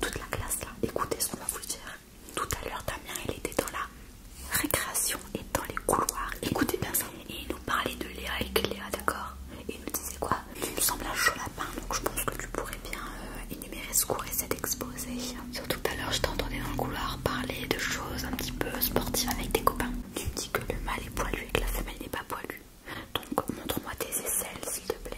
toute la classe là. Écoutez ce qu'on va vous dire. Tout à l'heure, Damien, il était dans la récréation et dans les couloirs. Écoutez bien ça. Et il nous parlait de Léa et Léa d'accord Et il nous disait quoi Il nous semble un chaud lapin, donc je pense que tu pourrais bien euh, énumérer ce cours et cet exposé. Surtout tout à l'heure, je t'entendais dans le couloir parler de choses un petit peu sportives avec tes copains. Tu dis que le mâle est poilu et que la femelle n'est pas poilue. Donc montre-moi tes aisselles, s'il te plaît.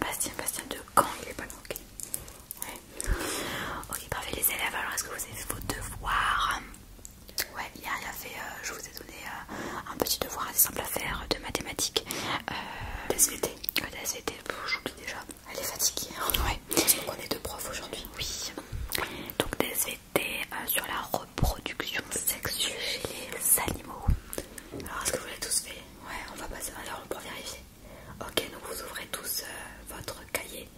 Bastien, Bastien de quand il est pas manqué. Ok, parfait les élèves. Alors, est-ce que vous avez vos devoirs Ouais, il y a fait euh, je vous ai donné euh, un petit devoir assez simple à faire de mathématiques. DSVT. SVT. je j'oublie déjà. Elle est fatiguée. Donc on est deux profs aujourd'hui. Oui. Donc DSVT euh, sur la reproduction sexuelle chez les animaux. Alors est-ce que vous l'avez tous fait Ouais, on va passer alors on pour vérifier. Ok, donc vous ouvrez tous euh, votre cahier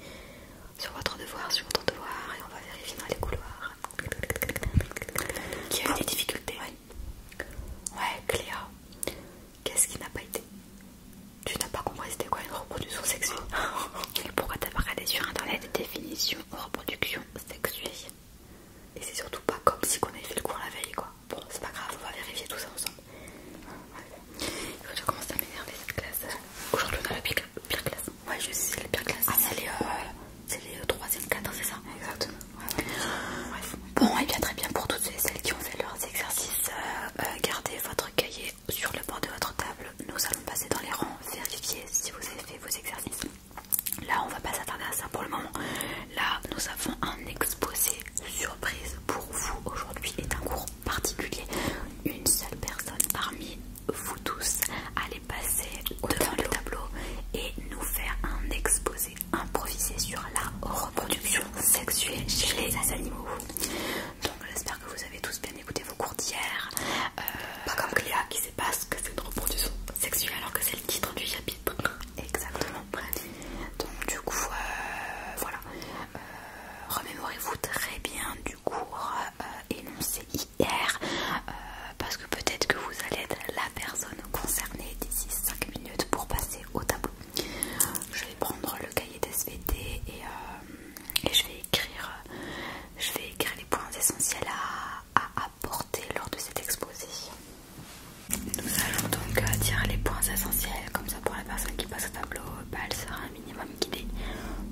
sur votre devoir, sur votre devoir, et on va vérifier dans les couloirs. Qui a eu des difficultés Ouais, ouais Cléa. Qu'est-ce qui n'a pas été Tu n'as pas compris c'était quoi une reproduction sexuelle Pourquoi t'as pas regardé sur internet définition reproduction sexuelle Et c'est surtout pas comme si qu'on avait fait le cours la veille quoi. Bon, c'est pas grave, on va vérifier tout ça ensemble. Il faut que Je commence à m'énerver cette classe. Aujourd'hui, on a la pire, classe. Ouais, je sais, c'est la pire classe. Ah, c'est les, 3 e 4 c'est ça Exactement. Bon, et bien très bien pour toutes celles, qui ont fait leurs exercices. Euh, euh, gardez votre cahier sur le bord de votre table. Nous allons passer dans les rangs, vérifier si vous avez fait vos exercices. Là, on va pas s'attarder à ça pour le moment. Là, nous avons un exposé surprise pour vous aujourd'hui est un cours particulier. Une seule personne parmi vous tous allez passer devant le tableau et nous faire un exposé improvisé sur la reproduction sexuelle chez les animaux. Donc j'espère que vous avez tous bien écouté vos cours d'hier. Euh, pas comme Cléa qui sait pas ce que c'est une reproduction sexuelle alors que c'est le titre du chapitre. Exactement. Donc du coup, euh, voilà. Euh, remémorez-vous très bien du cours euh, énoncé hier, parce que peut-être que vous allez être la personne concernée d'ici 5 minutes pour passer au tableau. Je vais prendre le cahier d'SVT et, je vais écrire, je vais écrire les points essentiels à, à apporter lors de cette exposé. Nous allons donc dire euh, les points essentiels, comme ça pour la personne qui passe au tableau, euh, bah, elle sera un minimum guidée.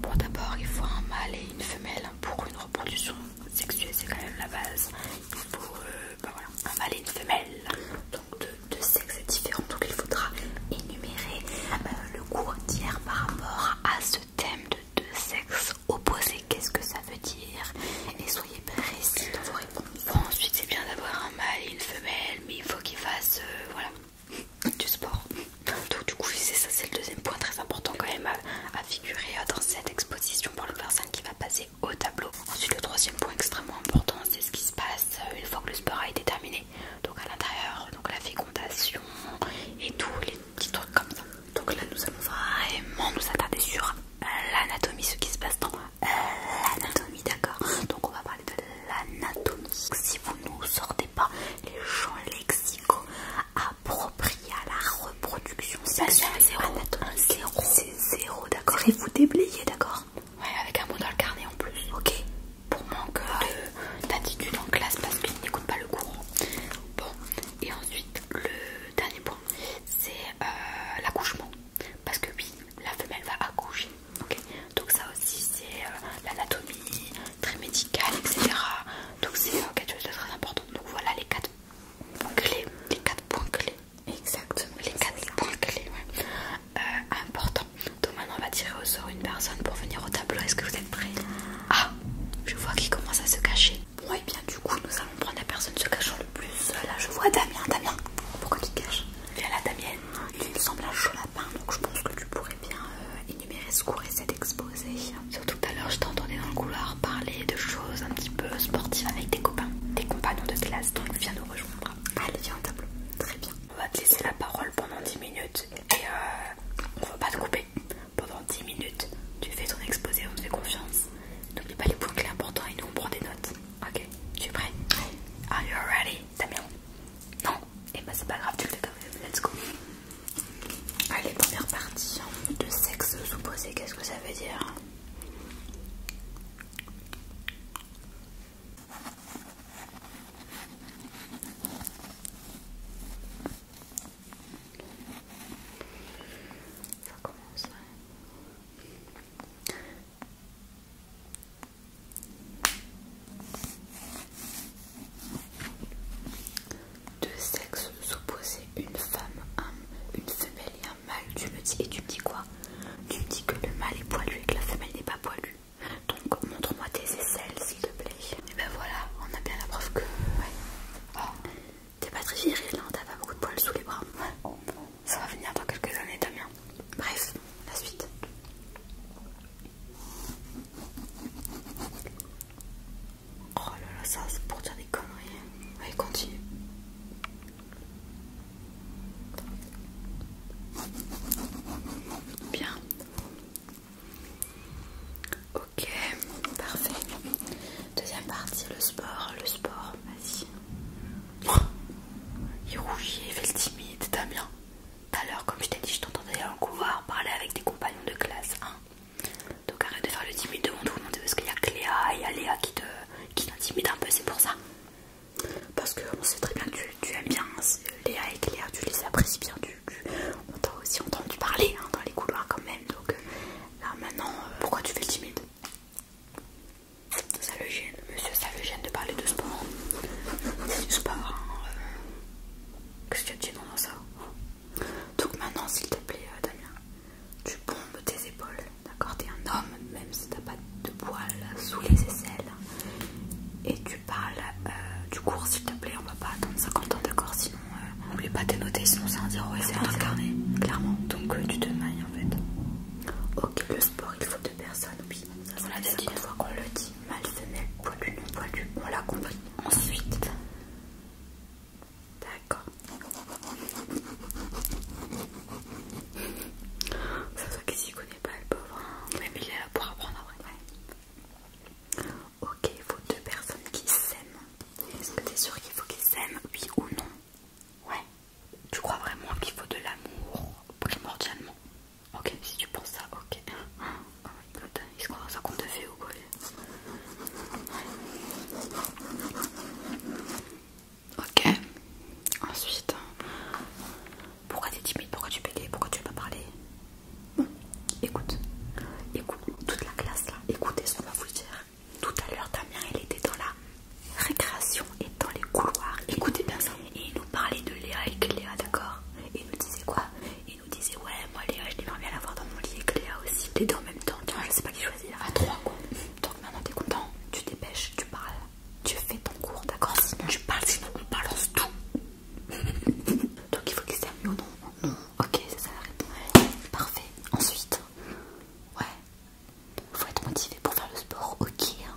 Pour d'abord il faut un mâle et une femelle hein, pour une reproduction sexuelle, c'est quand même la base. Il faut euh, bah, un mâle et une femelle, donc deux sexes différents, donc il faudra énumérer le cours entier par rapport à ce thème de deux sexes opposés, qu'est-ce que ça veut dire Et soyez précis dans vos réponses ensuite, c'est bien d'avoir un mâle et une femelle, mais il faut qu'ils fassent euh, voilà, du sport. Donc, du coup, c'est ça, c'est le deuxième point très important quand même à, figurer euh, dans cette exposition pour le personne qui va passer au tableau. Ensuite, le troisième point extrêmement important, c'est ce qui se passe euh, une fois que le sport a été terminé. Donc, à l'intérieur, donc la fécondation et tous les petits trucs comme ça. Donc, là, nous allons vraiment nous attarder sur l'anatomie, ce qui se passe dans l'anatomie, d'accord Donc on va parler de l'anatomie. Si vous ne nous sortez pas les champs lexicaux appropriés à la reproduction, bah, c'est zéro. C'est zéro, d'accord Et vous déblayez, d'accord Ouais, avec un mot dans le carnet en plus. Ok. Pour manque d'attitude en classe parce qu'ils n'écoutent pas le courant. Bon, et ensuite le dernier point, c'est euh, l'accouchement parce que oui, la femelle va accoucher. Donc ça aussi c'est euh, l'anatomie très médicale, etc. Donc c'est euh, quelque chose de très important. Donc voilà les quatre clés, les quatre points clés. Exactement. Les quatre points clés, euh, Donc maintenant on va tirer au sort une personne pour venir au tableau. Est-ce que vous êtes prêts Ah, je vois qu'il commence à se cacher. Bon et eh bien du coup nous allons prendre la personne se cachant le plus. Là ah, je vois Damien, Damien. Pourquoi tu te caches à la Damienne. Il semble un chaud lapin, donc je pense que tu pourrais bien euh, énumérer ce cours et cet exposé. Surtout tout à l'heure, je t'entendais dans le couloir parler de choses un petit peu sportives avec tes copains, tes compagnons de classe, donc viens nous rejoindre. Allez, viens au tableau. Très bien. On va te laisser la parole pendant 10 minutes et euh, on on va pas te couper. Pendant 10 minutes, tu fais ton exposé, on te fait confiance. N'oublie pas les points clés importants et nous on prend des notes. Ok, tu es prêt Are you ready, Damien Non Eh ben c'est pas grave, tu le fais quand même, let's go Allez, première partie hein. de sexe supposé, qu'est-ce que ça veut dire ça commence, deux sexes opposés, une femme, une femelle et un mâle. Tu me dis et tu me dis quoi Tu me dis que le mâle est poilu et que la femelle n'est pas poilue. Donc montre-moi tes aisselles s'il te plaît. Et ben voilà, on a bien la preuve que ah, T'es pas très viril, là, hein, t'as pas beaucoup de poils sous les bras. Ça va venir dans quelques années, Damien. Bref, la suite. Oh là là, ça c'est pour dire des conneries. Allez, continue. Bien. Ok, parfait. Deuxième partie, le sport. Le sport. Oh, vas-y. Il rougit il fait le timide, Damien. l'heure comme je t'ai dit, je t'entendais dans le couloir parler avec tes compagnons de classe. Hein. Donc arrête de faire le timide devant tout le monde parce qu'il y a Cléa et il y a Léa qui te qui t'intimide un peu, c'est pour ça. Parce que on sait très bien que tu, aimes bien hein, Léa et Cléa, tu les apprécies bien. Tu, on t'a aussi entendu parler hein, dans les couloirs quand même. Donc euh, là maintenant, euh, pourquoi tu fais le timide ça le gêne, monsieur, ça le gêne de parler de sport. C'est du sport, hein, euh. Qu'est-ce que tu as dit dans ça Donc maintenant, s'il te plaît, euh, Damien, tu bombes tes épaules, d'accord T'es un homme, même si t'as pas de poils sous les aisselles. Et tu parles euh, du cours, s'il te plaît, on va pas attendre 50 ans, d'accord Sinon, euh, n'oublie pas t'énoter, noter, sinon c'est un zéro et c'est incarné, clairement. Donc tu te mailles en fait. Ok, le sport, il faut deux personnes ou ça l'a c'est une fois qu'on le dit, mal femelle, voilu, non on l'a compris. Ensuite, d'accord. Ça soit qu'il s'y connaît pas, le pauvre. Hein. Mais il est là pour apprendre après. Ouais. Ok, il faut deux personnes qui s'aiment. Est-ce que t'es sûr qu'il faut qu'ils s'aiment, oui ou non Ouais. Tu crois vraiment qu'il faut de l'amour primordialement Ok, si tu penses ça, ok. ils se dans ou quoi Ok, ensuite, pourquoi t'es timide Pourquoi tu bégayes Pourquoi tu veux pas parler Écoute, écoute, toute la classe là, écoutez ce qu'on va vous dire. Tout à l'heure, Damien, il était dans la récréation et dans les couloirs. Écoutez bien ça. Et il nous parlait de Léa et Léa, d'accord Et il nous disait quoi Il nous disait ouais, moi Léa, je l'aimerais bien la dans mon lit et Léa aussi. Les deux en même temps, Tu vois, je sais pas qui choisir. À trois quoi. Donc maintenant t'es content, tu dépêches, tu parles, tu fais ton cours, d'accord Sinon tu parles, sinon on balance tout. Donc il faut que c'est mieux, non Non. Ok, c'est ça la réponse. Parfait. Ensuite, ouais. Faut être motivé pour faire le sport, ok. Hein.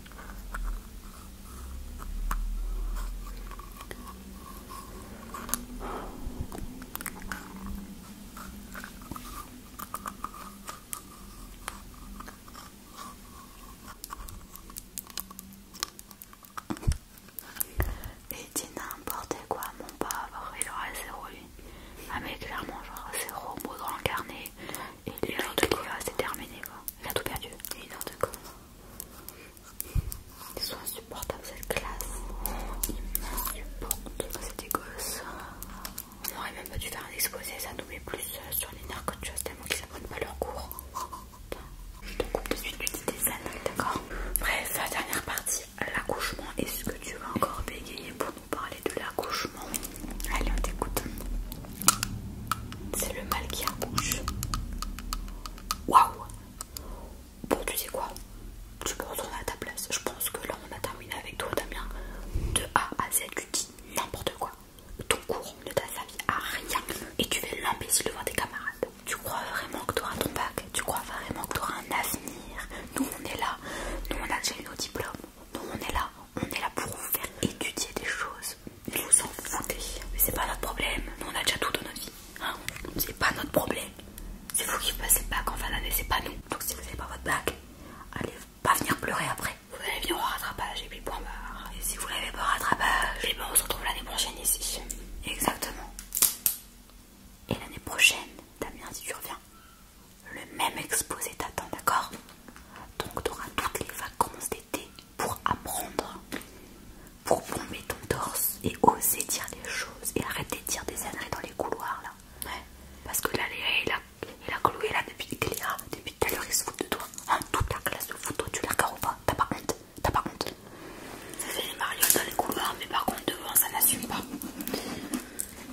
Et dit n'importe quoi, mon pauvre, il aura zéro lui. Ah mais clairement, genre zéro robot dans le carnet. Et lui, il a C'est terminé quoi. Il a tout perdu. il est de quoi ils sont insupportables cette classe. Ils m'insupportent. Oh, c'est des gosses. On aurait même pas dû faire un exposé, ça nous met plus euh, sur les nerfs que tu as tellement qu'ils apprennent pas leur cours. Je te coupe de suite, tu dis des années, d'accord Bref, dernière partie, l'accouchement. Est-ce que tu vas encore bégayer pour nous parler de l'accouchement Allez, on t'écoute. C'est le mal qui accouche. Waouh! Bon, tu sais quoi? Tu peux retourner à ta place. Je pense que là, on a terminé avec toi, Damien. De A à Z, tu dis n'importe quoi. Ton cours ne t'a servi à rien et tu fais l'imbécile devant tes camarades. Tu crois vraiment que tu auras ton bac? Tu crois vraiment que tu auras un avenir? Nous, on est là. Nous, on a déjà nos diplômes. Nous, on est là. On est là pour vous faire étudier des choses vous en foutez. Mais c'est pas notre problème. Nous, on a déjà tout dans notre vie. Hein? c'est pas notre problème. C'est vous qui passez le bac en fin d'année, c'est pas nous. Donc si vous avez pas votre bac, allez pas venir pleurer après. Vous allez venir au rattrapage et puis point barre. Et si vous l'avez pas rattrapage, et eh ben on se retrouve l'année prochaine ici. Exactement. Et l'année prochaine, Damien, si tu reviens, le même exposé t'attend, d'accord Donc tu auras toutes les vacances d'été pour apprendre, pour bomber ton torse et oser dire des choses et arrêter de dire des âneries dans les couloirs là. Ouais. Parce que là, Léa il a cloué là depuis Léa, depuis tout à l'heure ils se fout de toi. En hein, toute la classe de toi, tu la regardes ou pas T'as pas honte T'as pas honte Ça fait des marioles dans les couloirs mais par contre devant ça n'assume pas.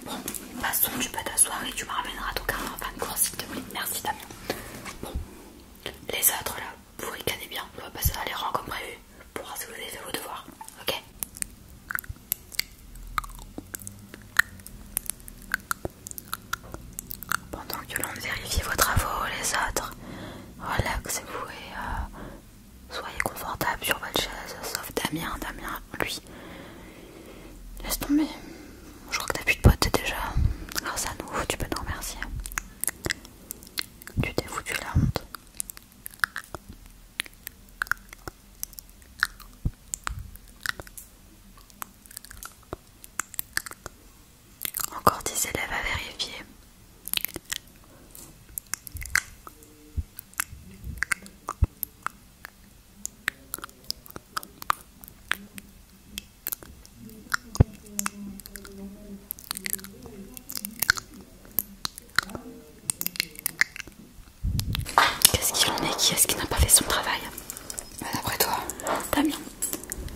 Bon, passons, tu peux t'asseoir et tu me ramèneras fin de court s'il te plaît. Merci Damien. Bon, les autres là, vous ricanez bien, on va passer à les comme prévu pour voir vos devoirs, ok Pendant que l'on vérifie vos travaux, les autres, relaxez-vous et euh, soyez confortable sur votre chaise, sauf Damien, Damien, lui. Laisse tomber, je crois que t'as plus de potes déjà, grâce à nous, tu peux nous remercier. Tu t'es foutu la honte. Encore 10 élèves à vérifier. Qu'est-ce qu'il en est Qui est-ce qui n'a pas fait son travail Bah d'après toi, Damien.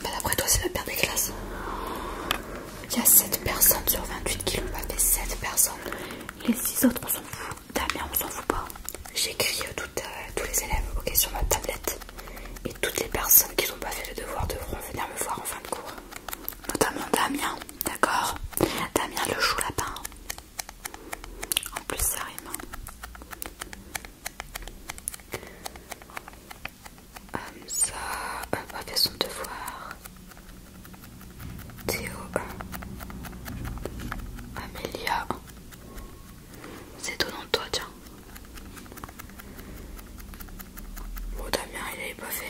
Bah d'après toi, c'est la paire des classes. Il y a 7 personnes sur 28 qui l'ont pas fait, 7 personnes. Les 6 autres, on s'en fout. Damien, on s'en fout pas. J'écris euh, tous les élèves, sur ma tablette. Et toutes les personnes qui n'ont pas fait le devoir devront venir me voir en fin de cours. Notamment Damien, d'accord Damien le chou lapin. En plus ça rime. Hamza hein. hum, n'a euh, pas fait son devoir. Théo. Euh. Amelia C'est nom de toi, tiens. Bon, Damien, il l'avait pas fait,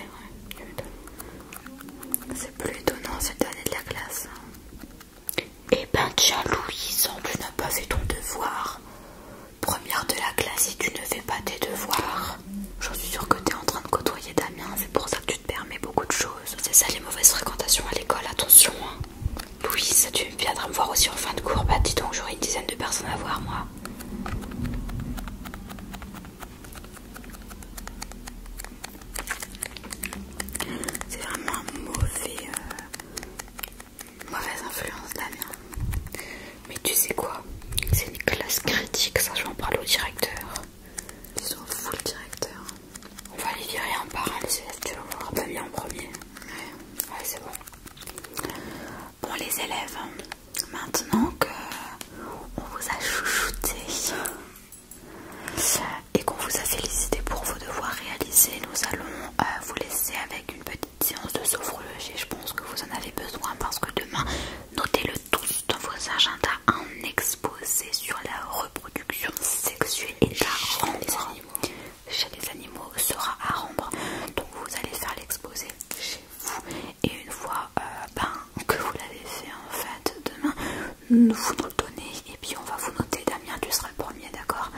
C'est plus étonnant, cette année de la classe. Hein. Eh ben, tiens, Louis, semble tu n'as pas fait ton devoir. Première de la classe, et tu ne fais pas tes devoirs. J'en suis sûre que tu es en train de côtoyer Damien, c'est pour ça que tu te permets beaucoup de choses. C'est ça les mauvaises fréquentations à l'école, attention. louise hein. Louis, tu viendras me voir aussi en fin de cours. Bah, dis donc, j'aurai une dizaine de personnes à voir, moi. C'est vraiment mauvais, euh, mauvaise influence Damien. Mais tu sais quoi C'est une classe critique, ça je vais en parler au directeur. Ils sont fous le directeur. On va les virer un par un tu vas voir mis en premier. ouais c'est bon. Bon les élèves, maintenant que on vous a chouchouté et qu'on vous a félicité pour vos devoirs réalisés, nous allons euh, vous laisser avec une petite séance de sophrologie. Je pense que vous en avez besoin parce que demain, notez-le tous dans vos agendas, un exposé sur la reproduction sexuelle et la rendre chez les animaux sera à rendre. Donc vous allez faire l'exposé chez vous et une fois euh, ben, que vous l'avez fait en fait demain vous nous le donnez et puis on va vous noter Damien tu seras le premier d'accord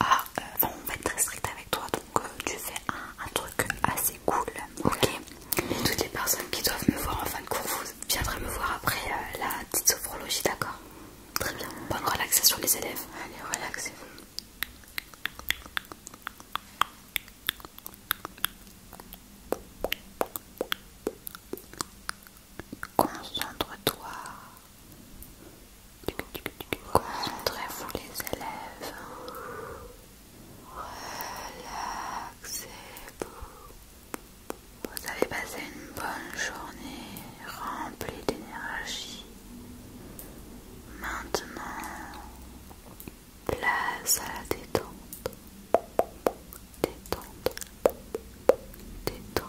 ah, euh, on va être très strict avec toi donc euh, tu fais un, truc assez cool ok et toutes les personnes qui doivent me voir en fin de cours Viendraient me voir après la petite sophrologie d'accord très bien bonne relaxation les élèves allez relaxez-vous Concentre-toi. Concentrez-vous les élèves. Relaxez-vous. Vous avez passé une bonne journée remplie d'énergie. Maintenant, place à la détente, détente, détente.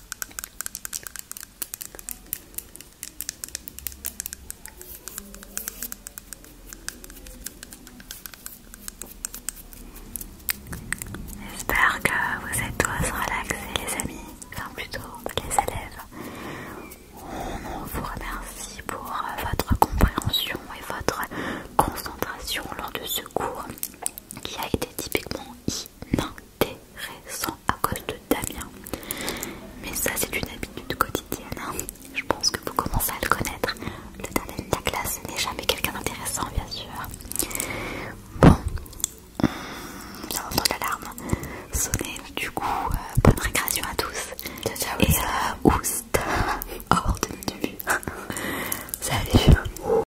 J'espère que vous êtes tous relaxés les amis, enfin plutôt les élèves. On vous remercie pour euh, votre compréhension et votre concentration lors de ce cours qui a été typiquement intéressant à cause de Damien. Mais ça, c'est une habitude quotidienne. Hein. Je pense que vous commencez à le connaître. Le dernier de la classe n'est jamais quelqu'un d'intéressant, bien sûr. Bon, hum, on l'alarme sonner. Du coup, euh, bonne récréation à tous. Ciao, Et oust, euh, hors de vue. Salut.